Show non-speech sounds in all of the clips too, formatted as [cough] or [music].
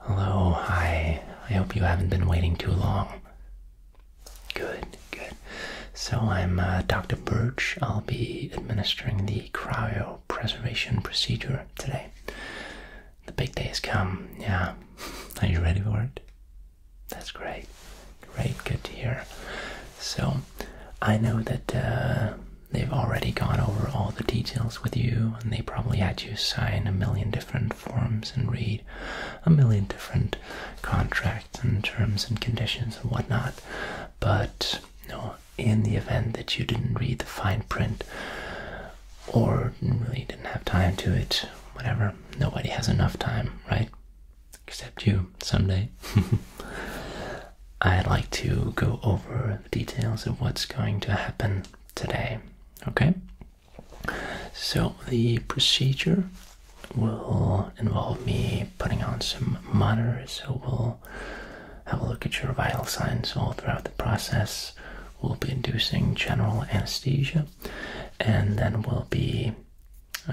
Hello, hi. I hope you haven't been waiting too long. Good, good. So I'm uh, Dr. Birch. I'll be administering the cryo preservation procedure today. The big day has come, yeah. [laughs] Are you ready for it? That's great. Great, good to hear. So, I know that uh, they've already gone over all the details with you, and they probably had you sign a million different forms and read a million different contracts and terms and conditions and whatnot. But in the event that you didn't read the fine print or really didn't have time to it, whatever, nobody has enough time, right? Except you someday. [laughs] I'd like to go over the details of what's going to happen today. Okay? So, the procedure will involve me putting on some monitors. So, we'll have a look at your vital signs all throughout the process. We'll be inducing general anesthesia and then we'll be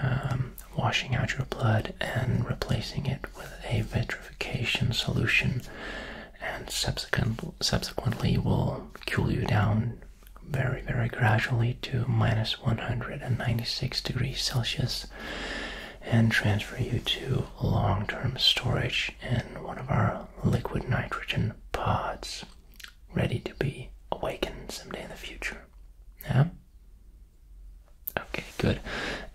um, washing out your blood and replacing it with a vitrification solution and subsequent, subsequently will cool you down very, very gradually to minus 196 degrees Celsius and transfer you to long term storage in one of our liquid nitrogen pods, ready to be awakened someday in the future. Yeah? Okay, good.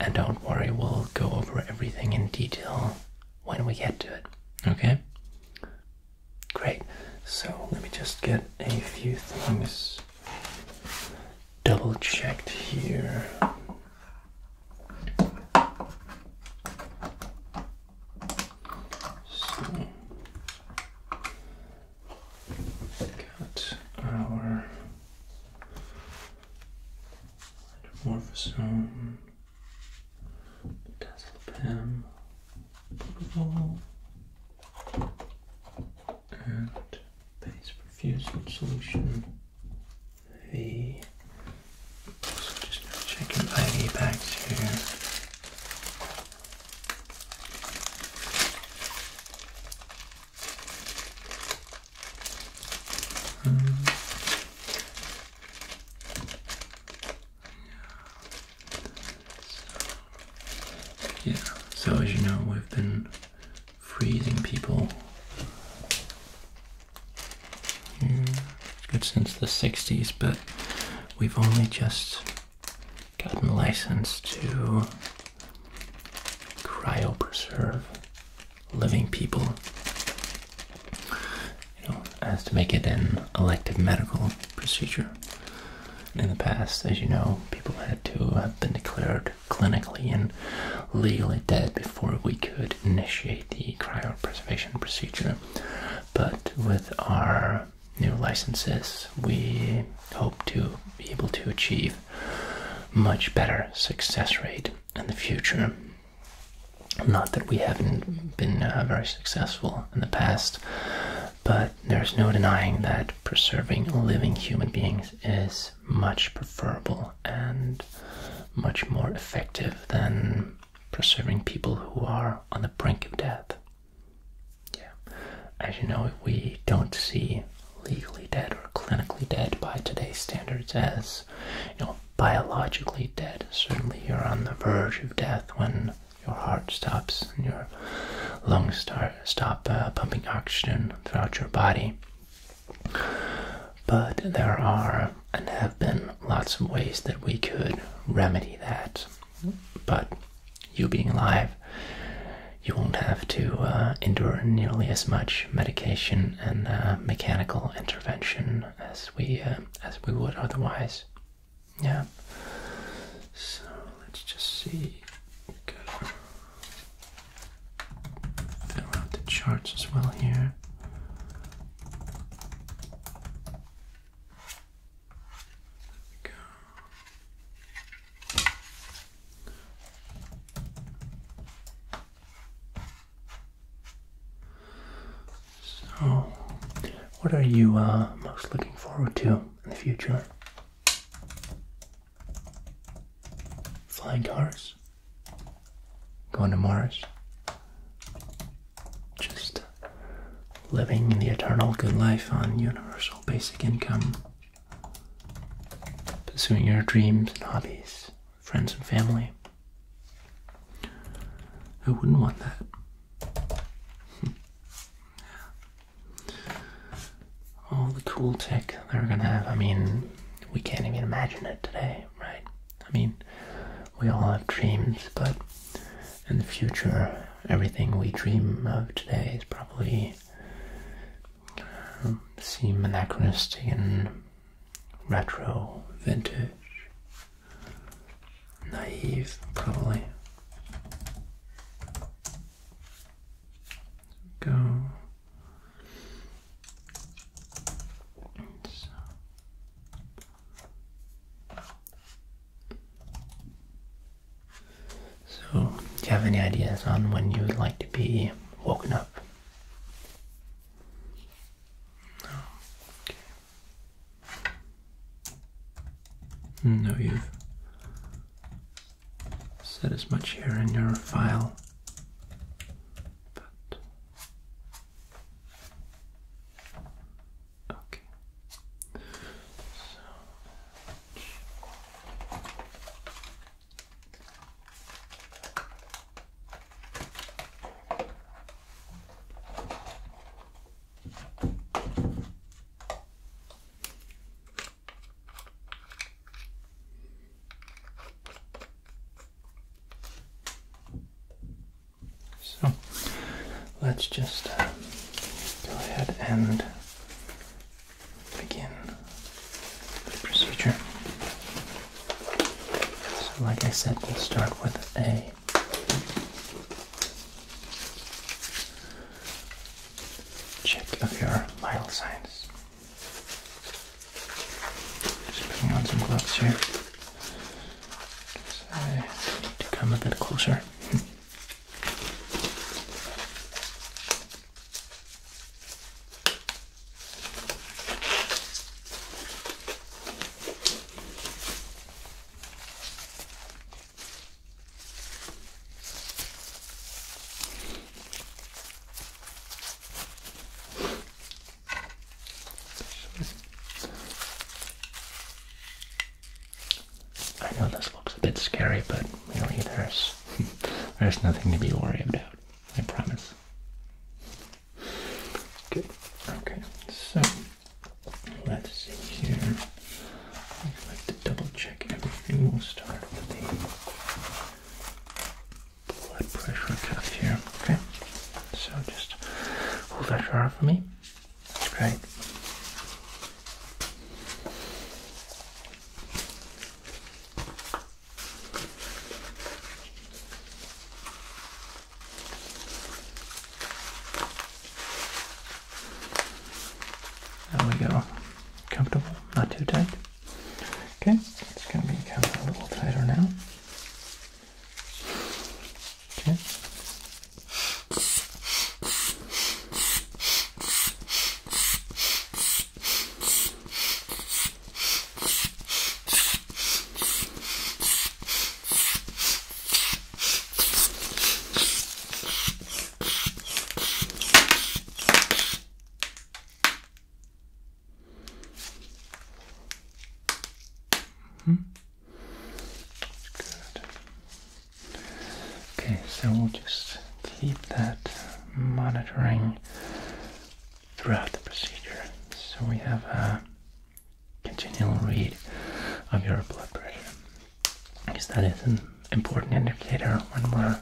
And don't worry, we'll go over everything in detail when we get to it. Okay? Great. So let me just get a few things double checked here. So got our metamorphosome Dazzlepam, Pokeball, and Base Perfusion Solution V. So just checking IV bags here. Um, yeah, so as you know, we've been freezing people here good since the 60s, but we've only just gotten licensed to cryopreserve living people you know, as to make it an elective medical procedure. In the past, as you know, people had to have been declared clinically and legally dead before we could initiate the cryopreservation procedure. But with our new licenses, we hope to be able to achieve much better success rate in the future not that we haven't been uh, very successful in the past, but there's no denying that preserving living human beings is much preferable and much more effective than preserving people who are on the brink of death. Yeah. As you know, we don't see legally dead or clinically dead by today's standards as you know biologically dead. Certainly, you're on the verge of death when your heart stops and your lungs start stop uh, pumping oxygen throughout your body. But there are and have been lots of ways that we could remedy that. But you being alive, you won't have to uh, endure nearly as much medication and uh, mechanical intervention as we uh, as we would otherwise. Yeah. So let's just see. Fill out the charts as well here. go. So, what are you uh, most looking forward to in the future? Flying cars? Going to Mars? Just living the eternal good life on universal basic income? Pursuing your dreams and hobbies? friends and family. Who wouldn't want that? [laughs] All the cool tech they're gonna have, I mean, we can't even imagine it today, right? I mean, we all have dreams, but in the future, everything we dream of today is probably um, seem anachronistic and retro, vintage naive, probably. Go. So. so, do you have any ideas on when you would like to be woken up? No. Hmm, okay. No, you've said as much here in your file, but okay. So let's just uh, go ahead and begin the procedure. So like I said, we'll start with A. Check of your vital signs. Just putting on some gloves here. to come a bit closer. I know this looks a bit scary, but really there's [laughs] there's nothing to be worried about. I promise. Good. Okay, so let's see here. I'd like to double check everything. We'll start with the blood pressure cuff here. Okay, so just hold that jar for me. That's great. There we go. Comfortable, not too tight. Okay, it's going to become a little tighter now. Okay. -hmm. Good. Okay, so we'll just keep that monitoring throughout the procedure. So we have a continual read of your blood pressure because that is an important indicator when we're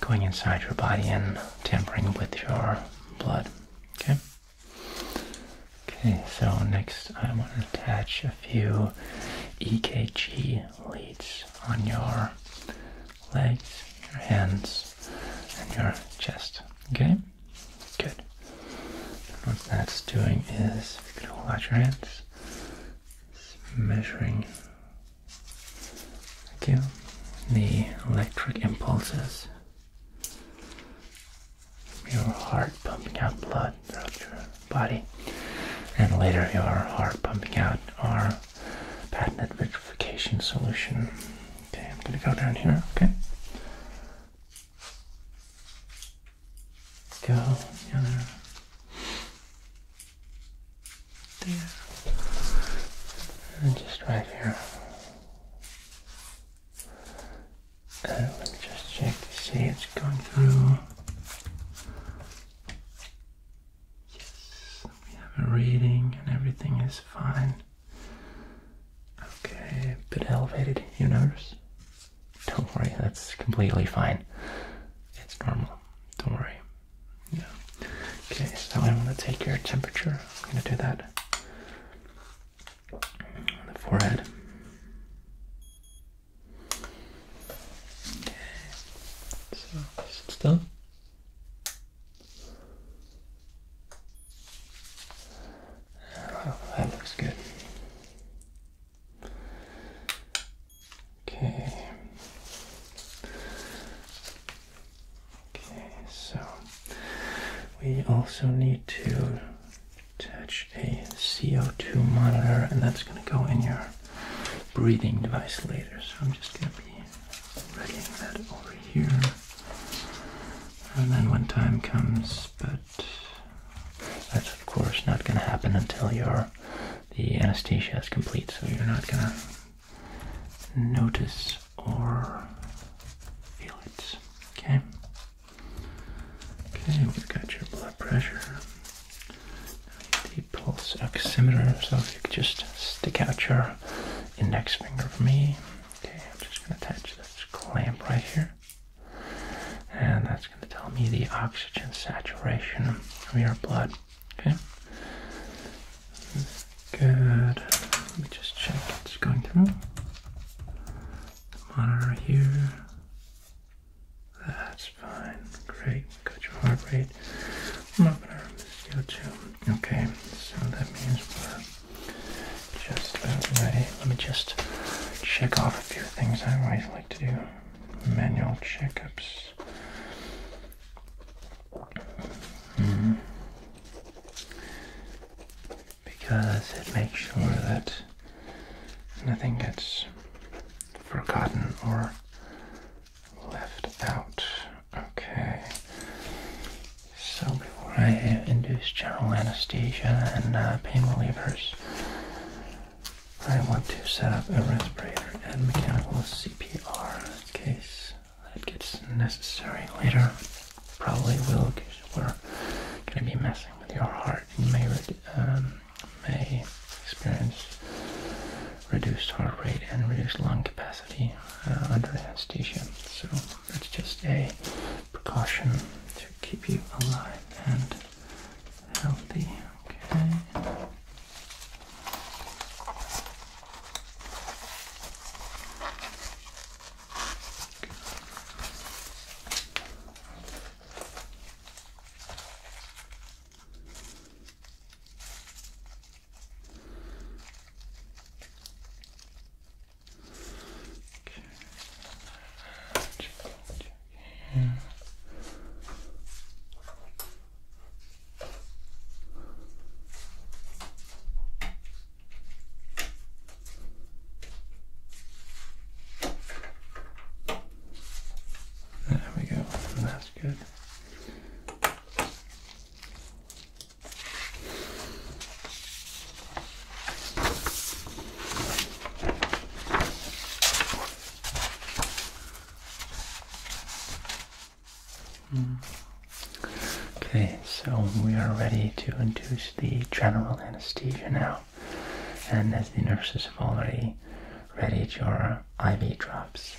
going inside your body and tampering with your blood. Okay. Okay, so next I want to attach a few EKG leads on your legs, your hands, and your chest. Okay? Good. what that's doing is, if you could hold out your hands, it's measuring thank the electric impulses. Your heart pumping out blood throughout your body, and later your heart pumping out our patent vitrification solution. Okay, I'm gonna go down here, okay? Go the other there. And just right here. And let me just check to see it's going through. Yes, we have a reading and everything is fine. Okay, a bit elevated, you notice? Don't worry, that's completely fine. It's normal. Don't worry. Yeah. Okay, so I'm gonna take your temperature. I'm gonna do that on the forehead. Okay. So sit still that looks good. Okay. Okay, so we also need to attach a CO2 monitor, and that's going to go in your breathing device later. So I'm just going to be readying that over here. And then when time comes, but that's of course not going to happen until your the anesthesia is complete, so you're not going to notice or feel it. Okay. Okay, we've got your blood pressure. The pulse oximeter, so if you could just stick out your index finger for me. Okay, I'm just going to attach this clamp right here. And that's going to tell me the oxygen saturation of your blood. Okay? Good. Let me just check it's going through. Monitor here. That's fine. Great. Got your heart rate. I'm not going to CO2. Okay, so that means we're just about uh, ready. Let me just check off a few things I always like to do. Manual checkups. Hmm. Because it makes sure that nothing gets forgotten or left out. Okay. So before I induce general anesthesia and uh, pain relievers, I want to set up a respirator and mechanical CPR in case that gets necessary later. Probably will because we're going to be messing with your heart. You um, may, experience reduced heart rate and reduced lung capacity uh, under anesthesia. So that's just a precaution to keep you alive and healthy. Okay. There we go. That's good. Okay, so we are ready to induce the general anesthesia now. And as the nurses have already readied your IV drops,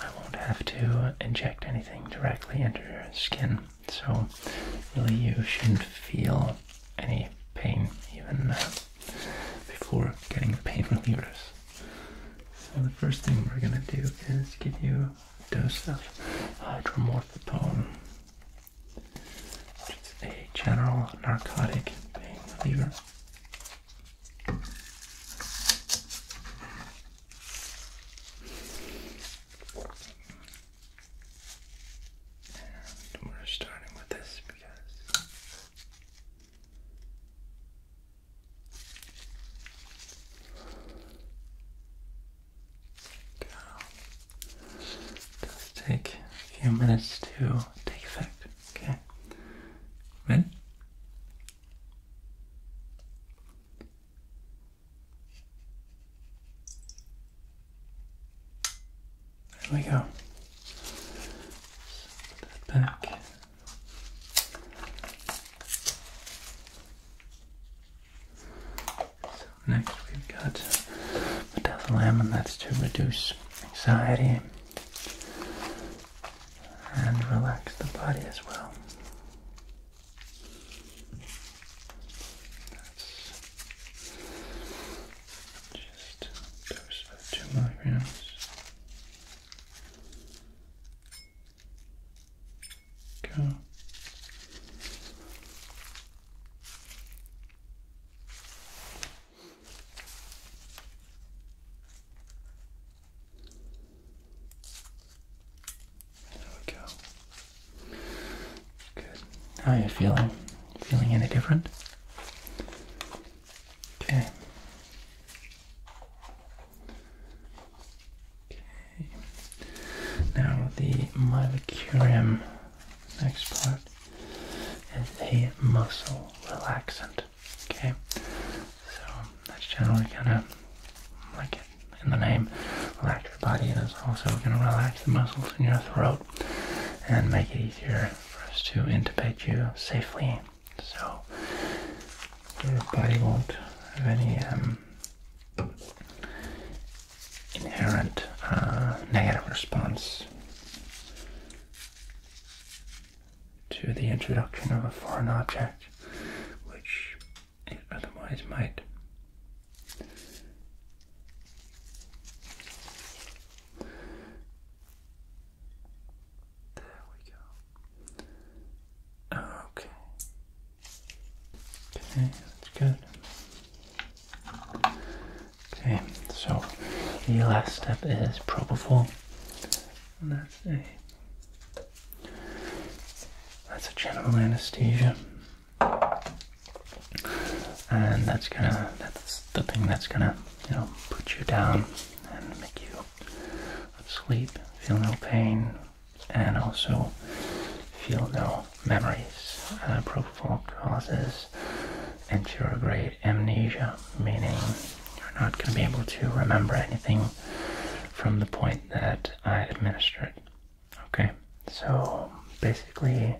I won't have to inject anything directly into your skin so really you shouldn't feel any pain even uh, before getting the pain relievers. So the first thing we're gonna do is give you a dose of hydromorphone. which is a general narcotic pain reliever we're starting with this because does take a few minutes to take effect. Okay. Ready? There we go. back. next we've got methylamine, that's to reduce anxiety and relax the body as well. That's just a dose of two milligrams. Go. There we How are you feeling? Feeling any different? Okay. Okay. Now the mylicurium next part is a muscle relaxant. Okay. So that's generally kind of like it in the name. Relax your body, and it's also going to relax the muscles in your throat and make it easier for us to intubate you safely. So your body won't have any um, inherent uh, negative response to the introduction of a foreign object, which it otherwise might. There we go. Okay. Okay, that's good. Okay, so the last step is propofol. And that's a that's a general anesthesia. And that's gonna, that's the thing that's gonna, you know, put you down and make you sleep, feel no pain, and also feel no memories. Uh, propofol causes anterograde amnesia, meaning you're not going to be able to remember anything from the point that I administered Okay, so basically,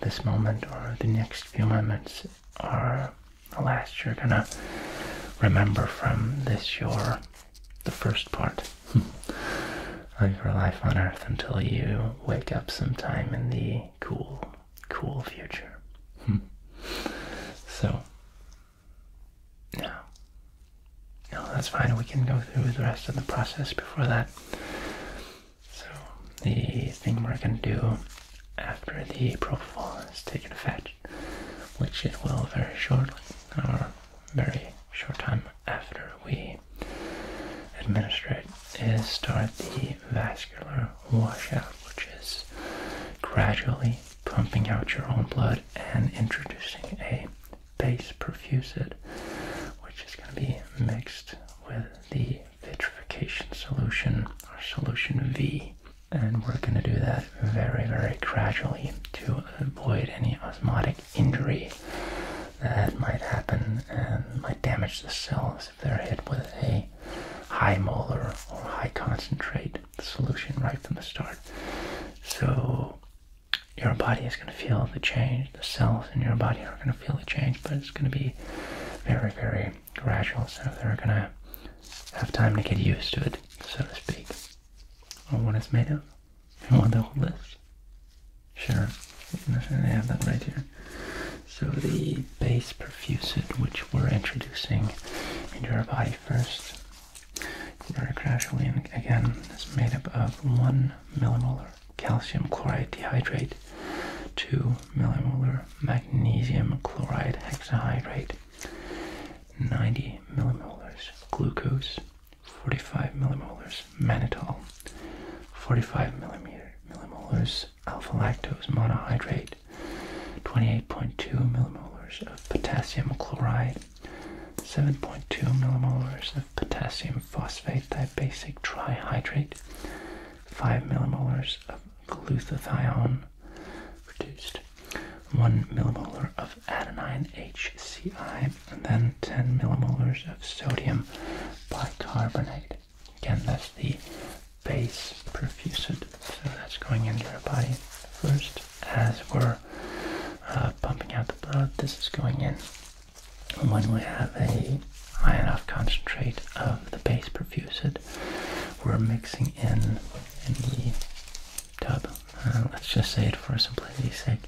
this moment or the next few moments are the last you're gonna remember from this, your the first part [laughs] of your life on Earth until you wake up sometime in the cool, cool future. [laughs] so, now no, that's fine. We can go through the rest of the process before that. So, the thing we're going to do after the propofol has taken effect, which it will very shortly, or very short time after we administer it, is start the vascular washout, which is gradually pumping out your own blood and introducing a base perfusid, which is going to be mixed with the vitrification solution or solution V. And we're going to do that very, very gradually to avoid any osmotic injury that might happen and might damage the cells if they're hit with a high molar or high concentrate solution right from the start. So your body is going to feel the change. The cells in your body are going to feel the change, but it's going to be very, very gradual. So they're going to have time to get used to it, so to speak, on what it's made of. and want the whole list? Sure. I have that right here. So the base perfusate, which we're introducing into our body first, very crash and again, is made up of 1 millimolar calcium chloride dehydrate, 2 millimolar magnesium chloride hexahydrate, 90 millimolars glucose, 45 millimolars mannitol, 45 millimeter millimolars alpha-lactose monohydrate, 28.2 millimolars of potassium chloride, 7.2 millimolars of potassium phosphate, dibasic trihydrate, 5 millimolars of glutathione reduced, 1 millimolar of adenine HCI, and then 10 millimolars of sodium bicarbonate. Again, that's the base perfusid, so that's going into your body first as we're uh, pumping out the blood, this is going in. when we have a high enough concentrate of the base perfused, we're mixing in in the tub. Uh, let's just say it for simplicity's sake.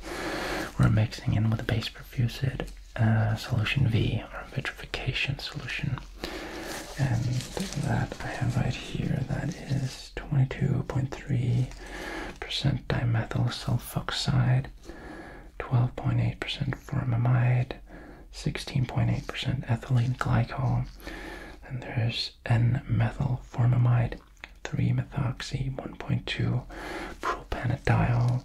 We're mixing in with the base perfused uh, solution V, our vitrification solution. And that I have right here, that is 22.3 percent dimethyl sulfoxide, 12.8% formamide, 16.8% ethylene glycol, and there's N-methyl formamide, 3-methoxy, 1.2 propanediol,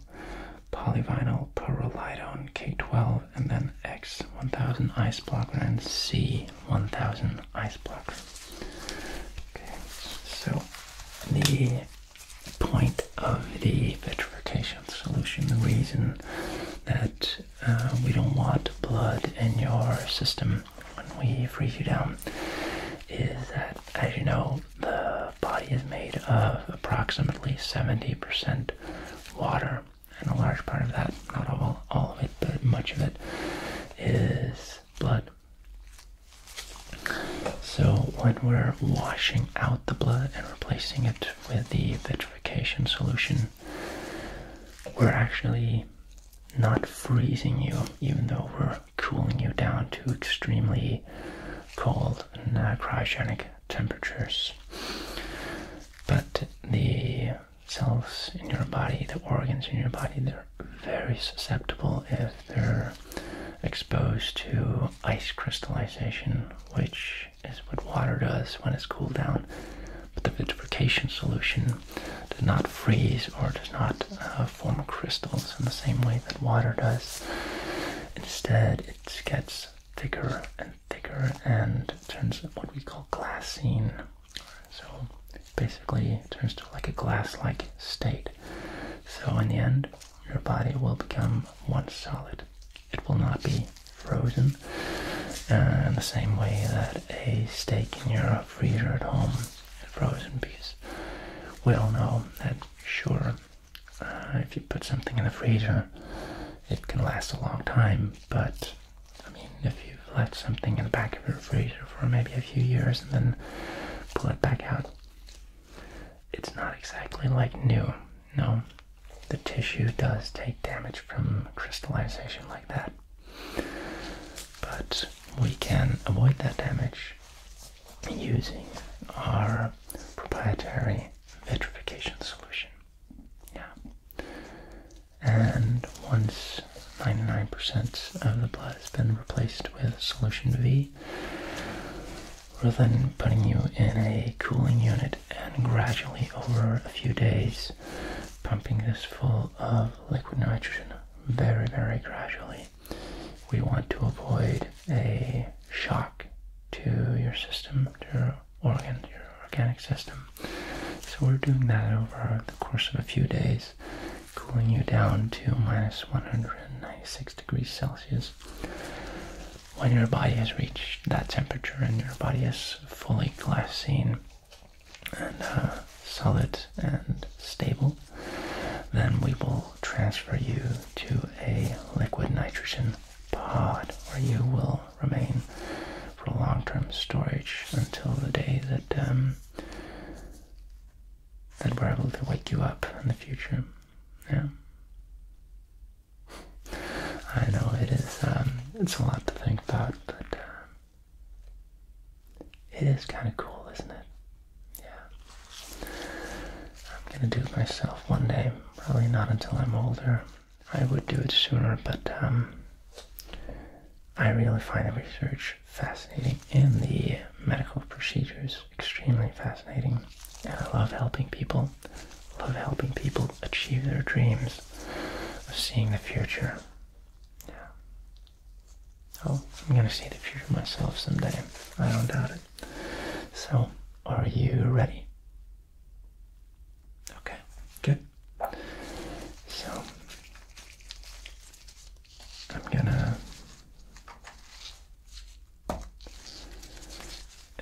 polyvinyl pyrrolidone K12, and then X1000 ice blocker and C1000 ice blocker. Okay, so the point of the vitrification solution, the reason that uh, we don't want blood in your system when we freeze you down is that, as you know, the body is made of approximately 70% water, and a large part of that, not all, all of it, but much of it, is blood. So when we're washing out the blood and replacing it with the vitrification solution, we're actually not freezing you, even though we're cooling you down to extremely cold uh, cryogenic temperatures. But the cells in your body, the organs in your body, they're very susceptible if they're exposed to ice crystallization, which is what water does when it's cooled down. But the vitrification solution does not freeze or does not uh, form crystals in the same way that water does. Instead, it gets thicker and thicker and turns what we call glassine. So basically turns to like a glass-like state. So in the end, your body will become one solid. It will not be frozen uh, in the same way that a steak in your freezer at home, is frozen Because We all know that, sure, uh, if you put something in the freezer, it can last a long time, but I mean, if you've left something in the back of your freezer for maybe a few years and then pull it back out. It's not exactly like new, no. The tissue does take damage from crystallization like that. But we can avoid that damage using our proprietary vitrification solution. Yeah. And once 99% of the blood has been replaced with solution V. We're then putting you in a cooling unit and gradually over a few days pumping this full of liquid nitrogen very, very gradually. We want to avoid a shock to your system, to your organ, your organic system. So we're doing that over the course of a few days cooling you down to minus 196 degrees Celsius. When your body has reached that temperature and your body is fully glassine and uh, solid and stable, then we will transfer you to a liquid nitrogen pod where you will remain for long-term storage until the day that um, that we're able to wake you up in the future. Yeah. I know it is. Um, it's a lot to think about, but uh, it is kind of cool, isn't it? Yeah. I'm gonna do it myself one day. Probably not until I'm older. I would do it sooner, but um, I really find the research fascinating and the medical procedures extremely fascinating. And I love helping people, love helping people achieve their dreams of seeing the future. Yeah. Oh, I'm going to see the future myself someday. I don't doubt it. So, are you ready? Okay, good. So, I'm gonna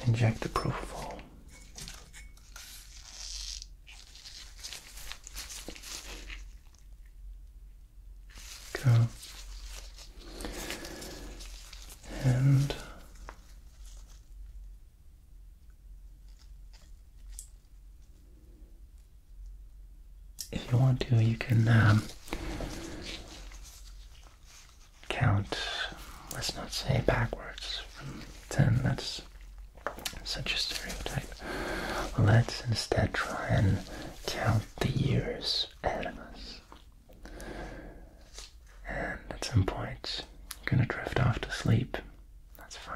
inject the propofol. Go and if you want to, you can um, count, let's not say backwards from 10, that's such a stereotype. Let's instead try and count the years ahead of us. And at some point, gonna drift off to sleep. That's fine.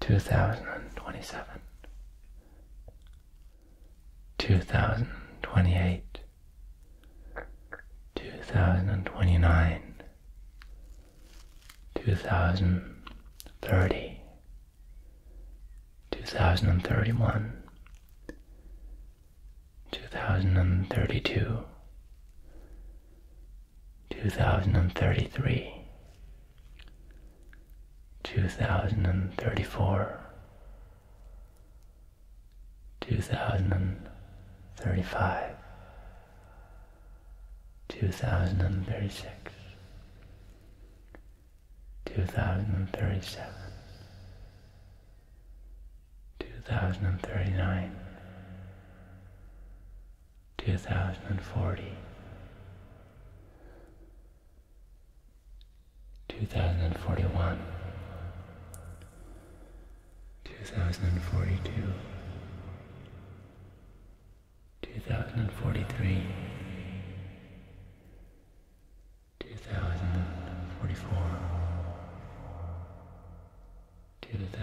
2027, 2028, 2029, 2030, 2031, 2032, 2033, two thousand and thirty four, two thousand and thirty five, two thousand and thirty six, two thousand and thirty seven, two thousand and thirty nine. 2040 2041 2042 2043 2044 2046